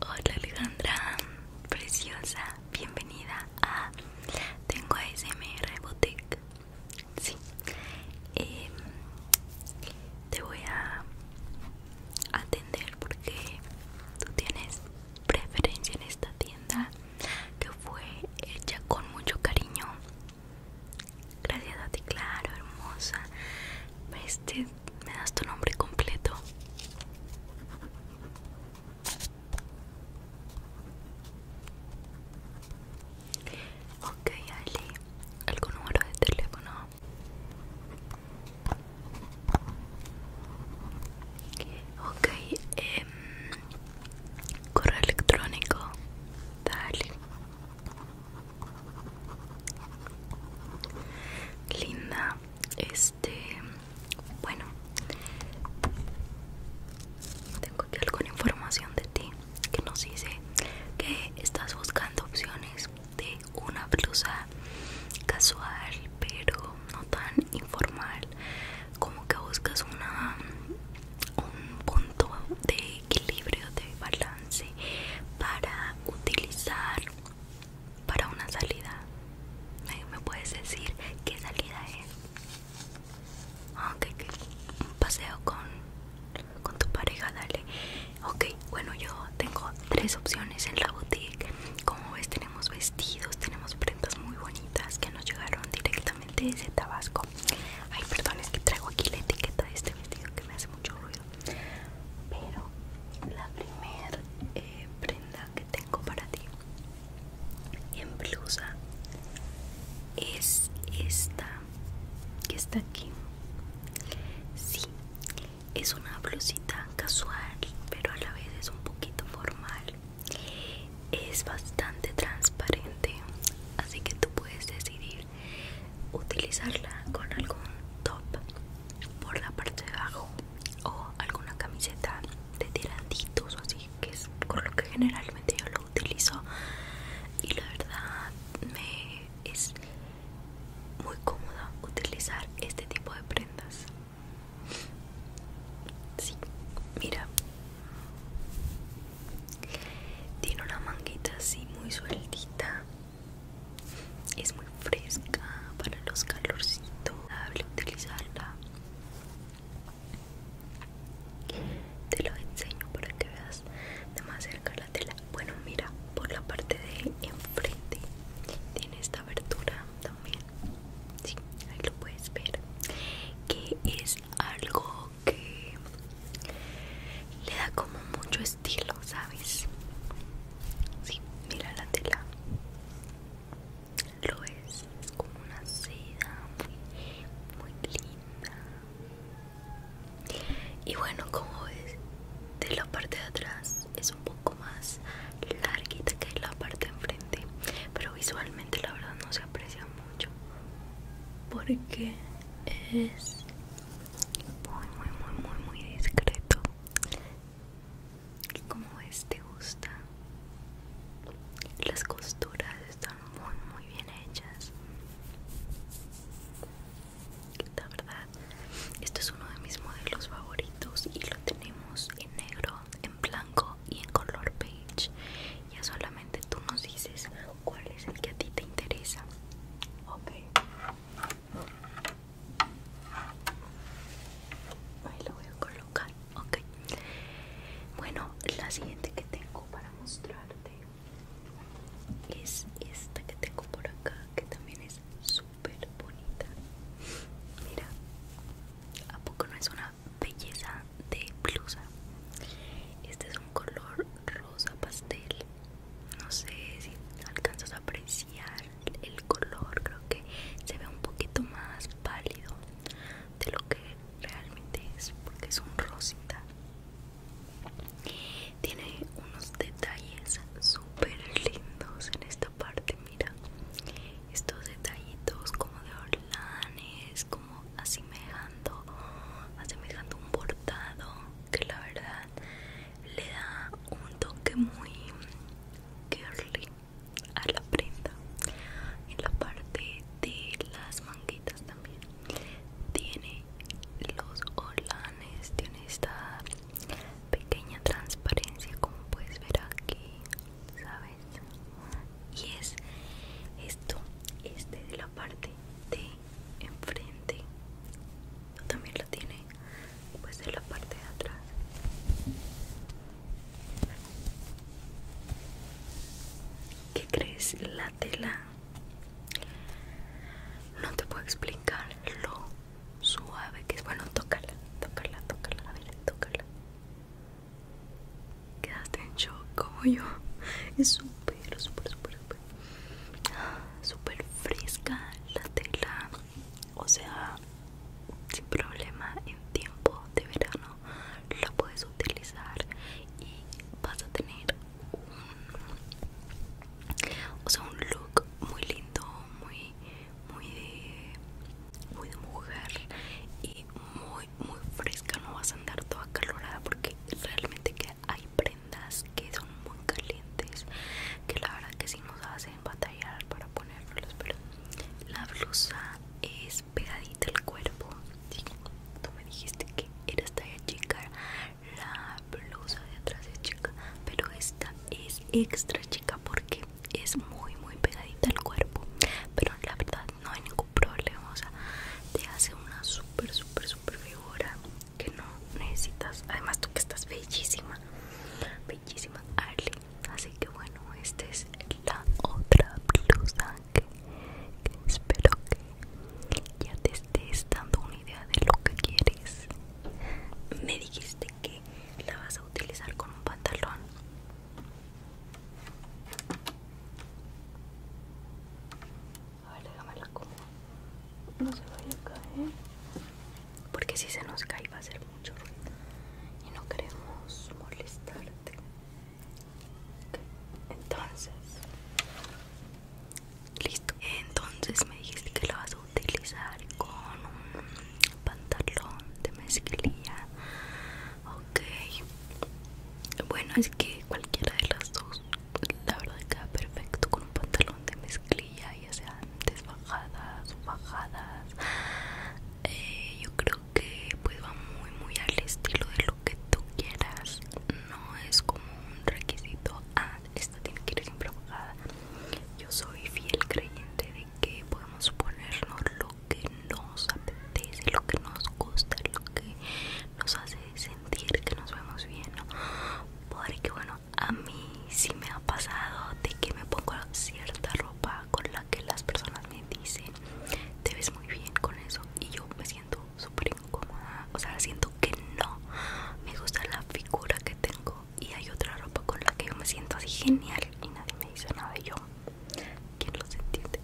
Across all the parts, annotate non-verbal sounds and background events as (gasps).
Hola Alejandra, preciosa, bienvenida a Tengo ASMR Boutique. Sí, em, te voy a atender porque tú tienes preferencia en esta tienda que fue hecha con mucho cariño. Gracias a ti, claro, hermosa. Este, ¿Me das tu nombre completo? Ok, dale. ¿algún número de teléfono? Ok, em, correo electrónico, dale linda este bueno tengo aquí alguna información de ti que nos dice que estás buscando opciones de una blusa casual pero no tan informal como que buscas una un punto de equilibrio de balance para utilizar para una salida. ¿Me puedes decir qué salida es? Ah, ok, Un paseo con, con tu pareja, dale. Ok, bueno, yo tengo tres opciones en la boutique. Como ves, tenemos vestidos, tenemos prendas muy bonitas que nos llegaron directamente desde Tabasco. Ay, perdón, es que traigo aquí la etiqueta de este vestido que me hace mucho ruido pero la primer eh, prenda que tengo para ti en blusa es esta que está aquí sí es una blusita casual pero a la vez es un poquito formal es bastante transparente así que tú puedes decidir utilizarla con algún top por la parte de abajo o alguna camiseta de tirantitos o así que es con lo que generalmente yo lo utilizo y la verdad me es muy cómoda utilizar este tipo de prendas sí mira tiene una manguita así muy sueltita es muy fresca para los calorcitos hable utilizarla te lo enseño para que veas de más cerca la tela bueno mira por la parte de enfrente tiene esta abertura también sí, ahí lo puedes ver que es algo que le da como mucho estilo, ¿sabes? Sí, mira la tela. Lo es, es como una seda muy, muy linda. Y bueno, como es de la parte de atrás, es un poco más larguita que la parte de enfrente, pero visualmente la verdad no se aprecia mucho porque es muy muy muy muy muy discreto como ves te gusta las costuras están muy muy bien hechas la verdad este es uno de mis modelos favoritos y lo tenemos en negro en blanco y en color beige ya solamente tú nos dices cuál es el que a ti te interesa ok Ahí lo voy a colocar, ok. Bueno, la siguiente que tengo para mostrarte es esta que tengo por acá, que también es súper bonita. Mira, ¿a poco no es una belleza de blusa? Este es un color rosa pastel no sé si alcanzas a apreciar el color creo que se ve un poquito más pálido de lo que realmente es porque es un rosita tiene unos detalles súper lindos en esta parte mira estos detallitos como de orlanes como asemejando asemejando un bordado que la verdad le da un toque muy girly a la prenda en la parte de las manguitas también tiene los holanes, tiene esta pequeña transparencia como puedes ver aquí sabes y es esto este de la parte de enfrente también lo tiene pues de la parte de atrás ¿Qué crees? La tela no te puedo explicar lo suave que es. Bueno, tócala, tócala, tócala, a ver, tócala. quédate en shock como yo. Es súper, súper, súper, (gasps) súper fresca la tela o sea sin problema en tiempo de verano la puedes utilizar y vas a tener un o sea un look muy lindo muy muy de, mujer y muy muy fresca no vas a andar toda calorada porque realmente que hay pre que son muy calientes que la verdad que sí nos hacen batallar para ponerlos pero la blusa es pegadita al cuerpo tú me dijiste que era talla chica la blusa de atrás es chica pero esta es extra chica porque es muy muy pegadita al cuerpo pero la verdad no hay ningún problema o sea te hace una super super super figura que no necesitas. Además, tú que estás bellísima, bellísima, Arley Así que bueno, esta es la otra blusa espero que ya te estés dando una idea de lo que quieres. Me dijiste que la vas a utilizar con un pantalón. A ver, la como. No se vaya a caer. Porque si se nos cae va a hacer mucho ruido. Y no queremos molestarte. Entonces. Listo. Entonces me dijiste que lo vas a utilizar con un pantalón de mezclilla. Ok. Bueno, es que cualquiera de las dos la verdad que queda perfecto con un pantalón de mezclilla ya sean desbajadas o bajadas eh, yo creo que pues va muy muy al estilo de lo que tú quieras no es como un requisito ah esta tiene que ir siempre bajada yo soy fiel creyente de que podemos ponernos lo que nos apetece lo que nos gusta lo que nos hace sentir que nos vemos bien, ¿no? Porque bueno, a mí sí me ha pasado de que me pongo cierta ropa con la que las personas me dicen, te ves muy bien con eso y yo me siento súper incómoda, o sea, siento que no me gusta la figura que tengo y hay otra ropa con la que yo me siento así genial y nadie me dice nada y yo quién los entiende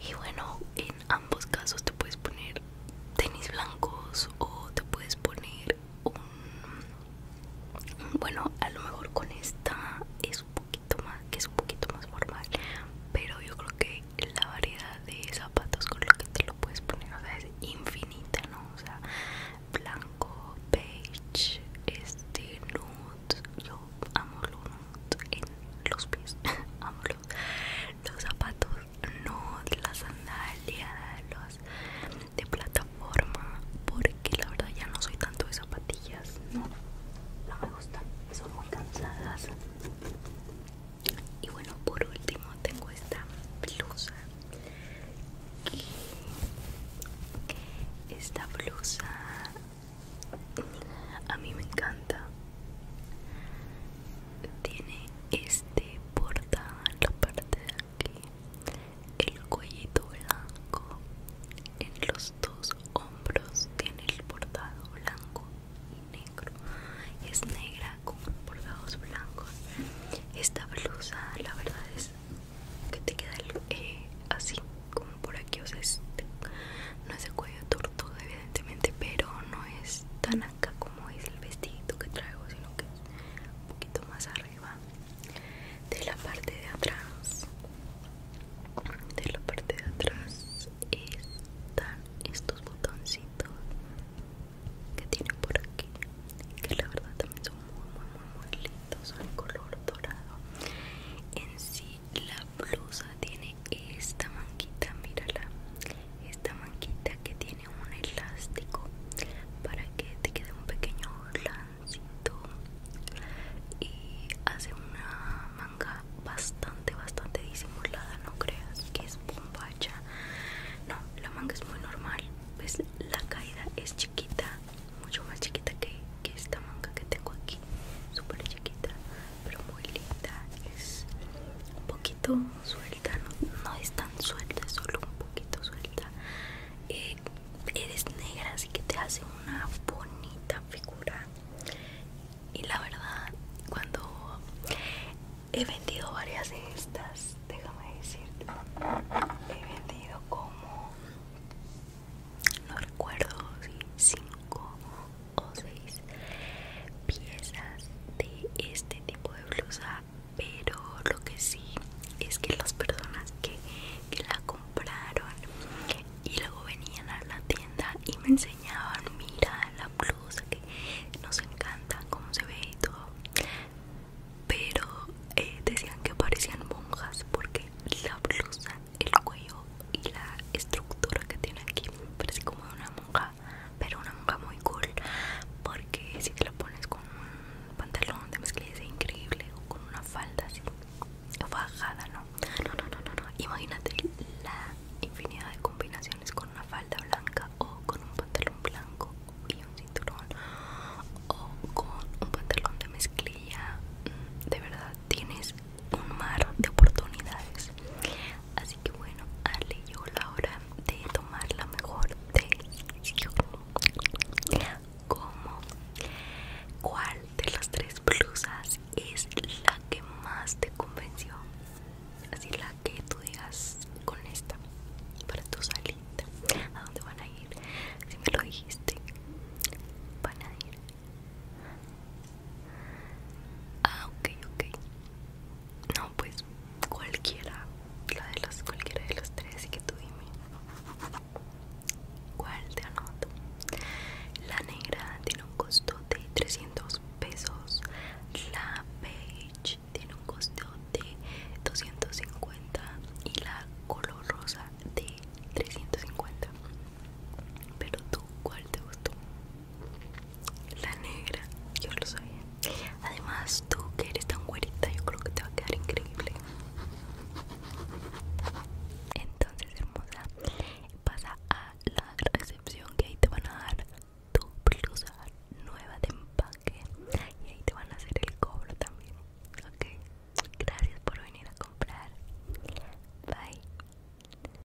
y bueno en ambos casos te puedes poner tenis blancos o te puedes poner un bueno a lo mejor con esta es un poquito más que es un poquito más formal pero yo creo que la variedad de zapatos con lo que te lo puedes poner es infinita no o sea blanco beige este nude yo amo los nude en los pies (laughs) amo los zapatos no las sandalias, de plataforma, porque la verdad ya no soy tanto de zapatillas, no, no me gustan, son muy cansadas. Y bueno, por último tengo esta blusa. Esta blusa a mí me encanta tiene este bordado en la parte de aquí el cuellito blanco en los dos hombros tiene el bordado blanco y negro es negra con bordados blancos esta blusa la verdad es que te queda eh, así como por aquí o sea no es el cuello todo evidentemente pero no es tan acá como es el vestidito que traigo sino que es un poquito más arriba de la parte de atrás de la parte de atrás están estos botoncitos que tienen por aquí que la verdad también son muy muy muy lindos son color dorado en sí la blusa tiene esta manquita mírala esta manquita que tiene un elástico para que te quede un pequeño lancito y hace una manga bastante bastante disimulada no creas que es bombacha no la manga es muy normal pues la caída es chiquita mucho más chiquita que esta manga que tengo aquí súper chiquita pero muy linda es un poquito suelta no, es tan suelta es solo un poquito suelta eh, eres negra así que te hace una bonita figura y la verdad cuando he vendido varias de estas déjame decirte he vendido como no recuerdo si 5 o seis piezas de este tipo de blusa pero lo que sí es que las personas que, la compraron y luego venían a la tienda y me enseñaban mira la blusa que nos encanta cómo se ve y todo pero eh, decían que parecían monjas porque la blusa el cuello y la estructura que tiene aquí parece como de una monja pero una manga muy cool, porque si te lo pones con un pantalón de mezclilla increíble o con una falda así bajada, no, no, no, no, no, no. Imagínate la infinidad de combinaciones con una falda blanca o con un pantalón blanco y un cinturón o con un pantalón de mezclilla. Mm, de verdad, tienes un mar de oportunidades. Así que bueno, Ale llegó la hora de tomar la mejor decisión. ¿Cómo? ¿Cuál de las tres blusas es la que más te convenció? Así la que tú digas con esta para tu salida, ¿A dónde van a ir? Si me lo dijiste, van a ir Ah, ok, ok. No, pues cualquiera. La de las, cualquiera de los tres, así que tú dime. ¿Cuál te anoto? La negra tiene un costo de 300 pesos. La beige tiene un costo de 250 y la color rosa de 350. Pero tú, ¿cuál te gustó? La negra, yo lo sabía. Además, tú que eres tan güerita, yo creo que te va a quedar increíble. Entonces, hermosa, pasa a la recepción que ahí te van a dar tu blusa nueva de empaque y ahí te van a hacer el cobro también. Ok, gracias por venir a comprar. Bye.